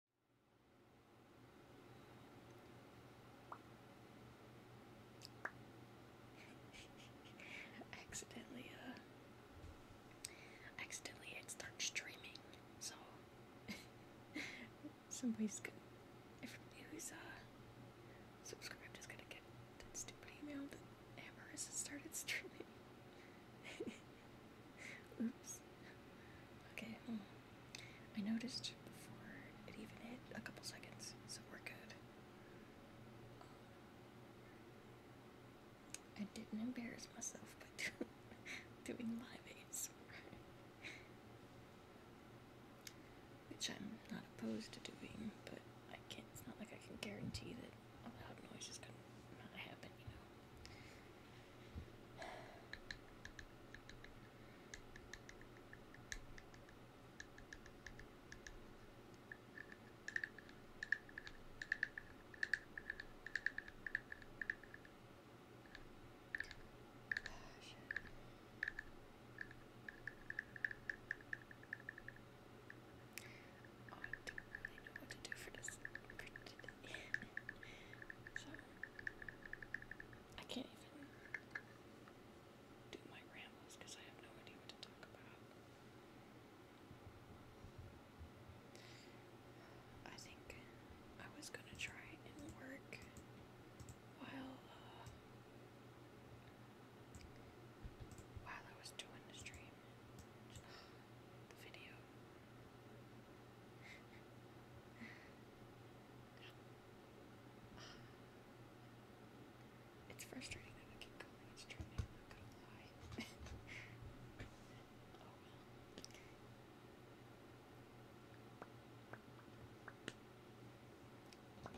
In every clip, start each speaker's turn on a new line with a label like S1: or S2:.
S1: accidentally, uh, accidentally it starts streaming, so somebody's going good. Everybody who's, uh, subscribed is gonna get that stupid email that Amber has started streaming. Oops. Okay, I noticed before it even hit a couple seconds, so we're good. Um, I didn't embarrass myself by doing live aids. Which I'm not opposed to doing, but I can't, it's not like I can guarantee that a loud noise is gonna not happen, you know. Oh, I don't really know what to do for this today. So I can't even do my rambles because I have no idea to talk about. I think I was gonna try and work while uh, while I was doing the stream, the video. It's frustrating that I keep calling it's trending, I'm gonna lie. Oh,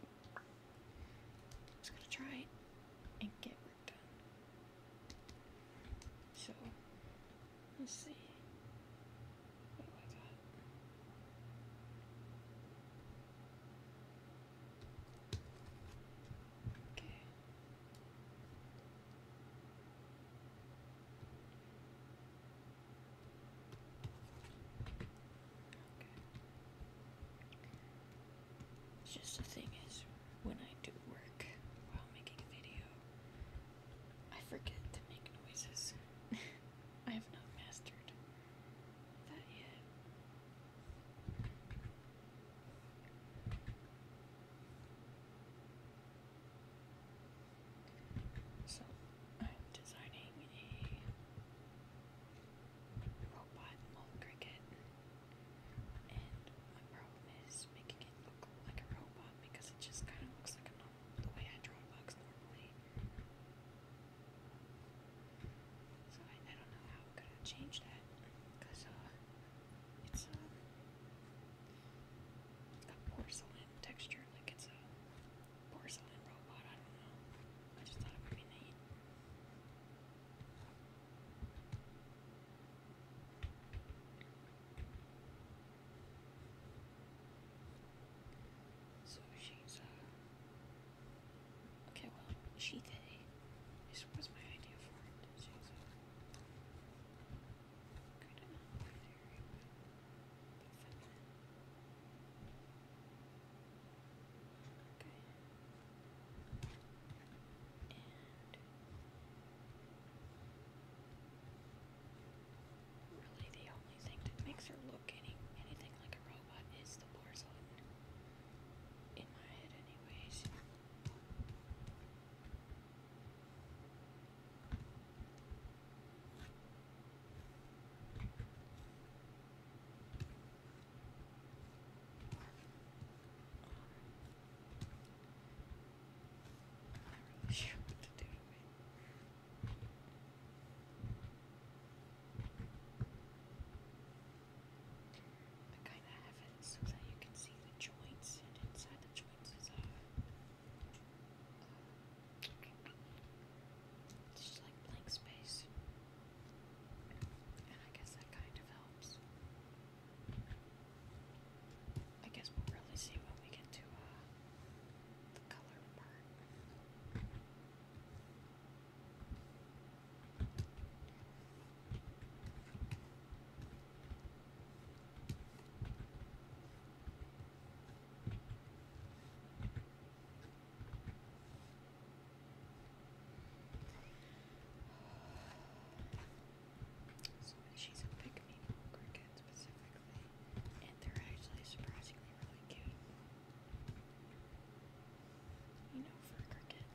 S1: just gonna try and get so, let's see. Okay. Okay. It's just the thing is when I do work while making a video, I forget to make noises. I have not mastered that yet. So, I'm designing a robot cricket. And my problem is making it look like a robot because it just kind of looks like a normal, the way I draw bugs normally. So I, I don't know how I'm gonna change that because uh, it's a porcelain texture, like it's a porcelain robot. I don't know. I just thought it would be neat. So she's, uh, okay, well, she, they, this was my idea for it. Uh, okay. Really, the only thing that makes her look any anything like a robot is the bars on. In my head, anyways. I'm not really sure what to do I kind of have it so that you can see the joints, and inside the joints is off. Uh, just like blank space. And I guess that kind of helps. I guess we'll really see when we get to uh, the color part. So she's a pick-me cricket specifically, and they're actually surprisingly really cute. You know, for a cricket.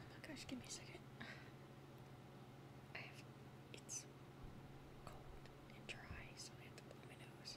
S1: Oh my gosh, give me a second. I have it's cold and dry, so I have to blow my nose.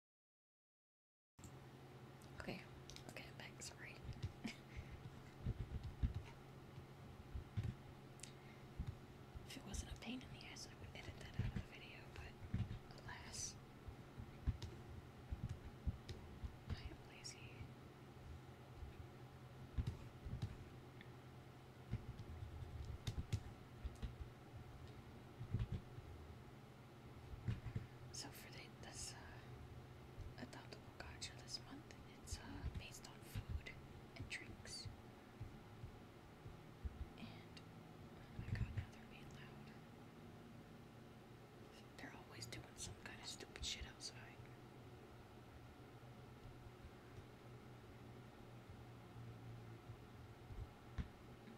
S1: Okay, okay, i sorry. if it wasn't a pain in the ass, I would edit that out of the video, but alas, I am lazy. So for the, this uh, adoptable gotcha this month, it's uh, based on food and drinks. oh my god, now they're being loud. They're always doing some kind of stupid shit outside.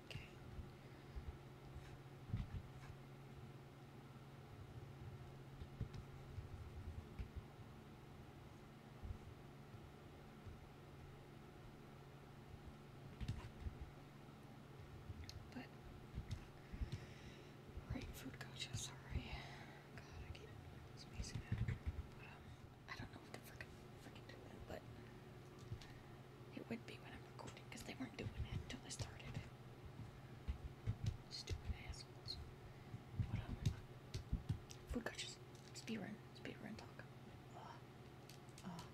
S1: Okay. But right food gotcha, sorry. God, I keep spacing out. But, um, I don't know what the frick I'm freaking doing, but it would be when I'm recording because they weren't doing it until I started. Stupid assholes. What up? Food cultures. Speedrun. Speedrun talk. Uh, uh.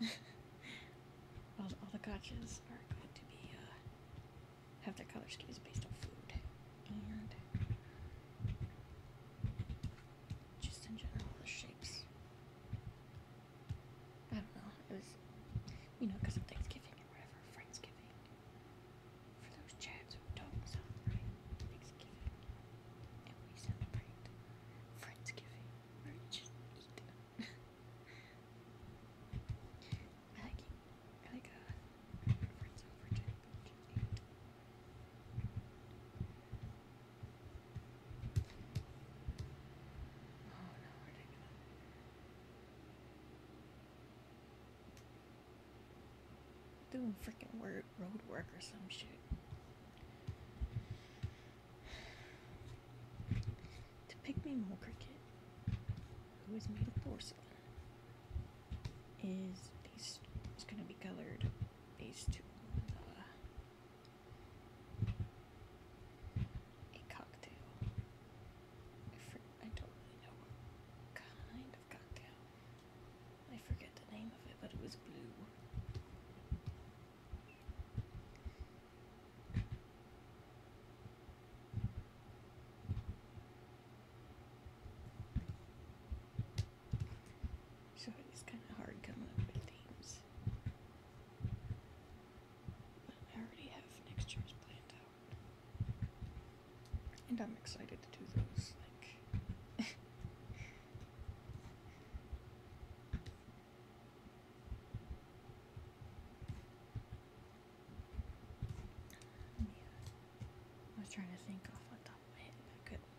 S1: all, all the coaches are going to be, uh, have their color schemes based on food. And just in general, the shapes. I don't know. It was, you know, because of Thanksgiving and whatever, Friendsgiving. For those chads who don't celebrate Thanksgiving, and we celebrate Friendsgiving, where just eat. I like it. I like uh, doing freaking word road work or some shit. To pick me more cricket, who is made of porcelain, is these is gonna be colored these two. Uh, a cocktail. I, for I don't really know what kind of cocktail. I forget the name of it, but it was blue. So it's kind of hard coming up with themes. But I already have next year's planned out. And I'm excited to do those. Like, I was trying to think off the top of my head, but I couldn't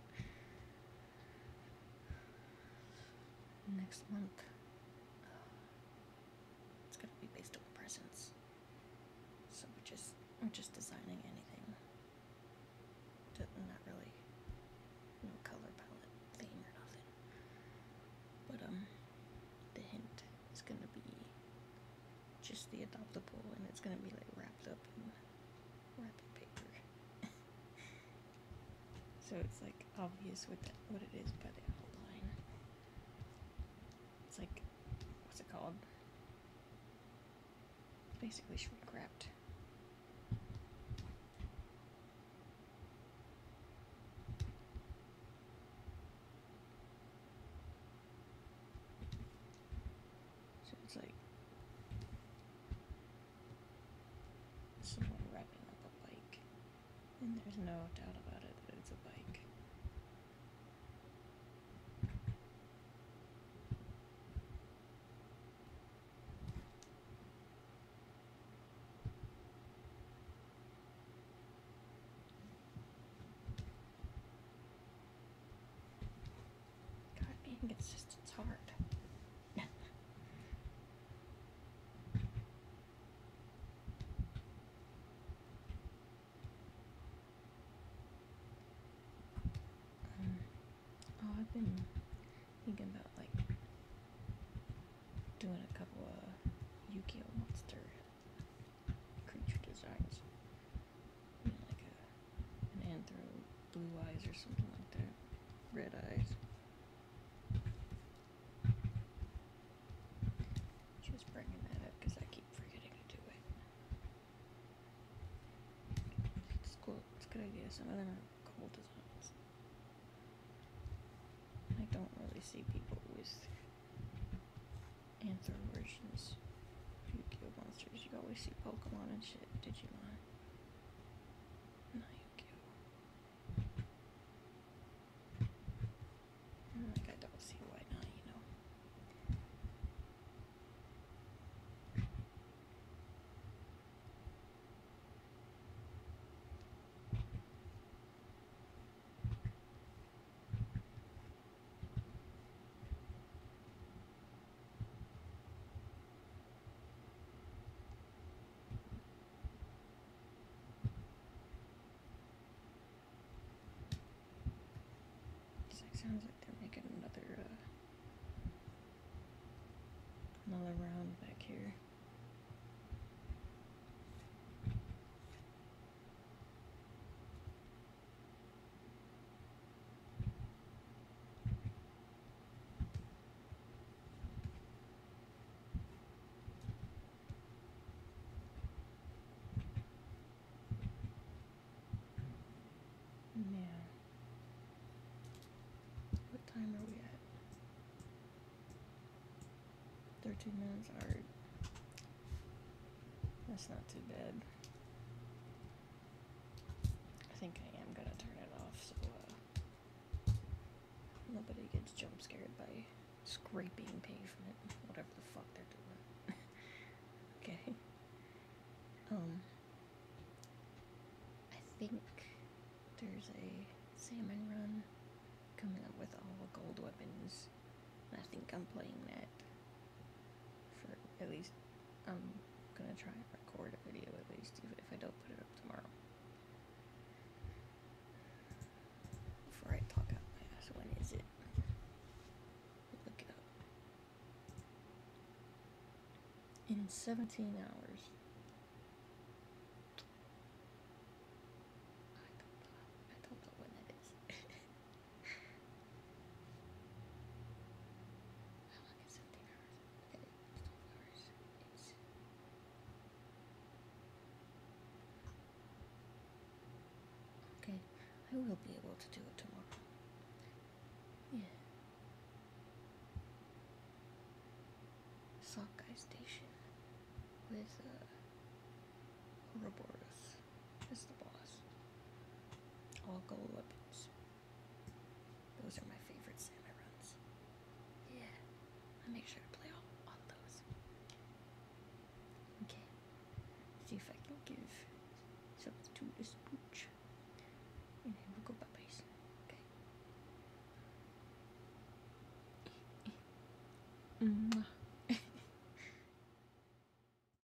S1: next month. It's gonna be based on presents. So we're just we're just designing anything. Not really color palette theme or nothing. But um the hint is gonna be just the adoptable and it's gonna be like wrapped up in wrapping paper. So it's like obvious what, what it is but the outline. It's like, what's it called? basically shrink wrapped. So it's like someone wrapping up a bike. And there's no doubt about it that it's a bike. God, being consistent is hard. um, oh, I've been thinking about like doing a couple of Yu-Gi-Oh monster creature designs an anthro blue eyes or something like that. Red eyes. Just bringing that up because I keep forgetting to do it. It's cool. It's a good idea. Some of cool designs. I don't really see people with anthro versions. yu monsters. You always see Pokemon and shit, Digimon i like, I don't see why not, you know sounds like they're making another uh, another round back here time are we at? 13 minutes, Are That's not too bad. I think I am gonna turn it off so uh, nobody gets jump scared by scraping pavement, whatever the fuck they're doing. okay. Um, I think there's a salmon run coming up with all the gold weapons. I think I'm playing that for at least, I'm gonna try and record a video at least if, if I don't put it up tomorrow. Before I talk out my ass, when is it? Look it up. In 17 hours. I don't know, I don't know when that is. I okay. I will be able to do it tomorrow. Yeah. Sockeye Station with uh Ouroboros. That's the boss. All gold weapons. Those are my favorite samurai runs. Yeah, I make sure to play all, all those. Okay, see if I can give something to this pooch. And then we'll go bye-byes. Okay. Mwah. Mm-hmm.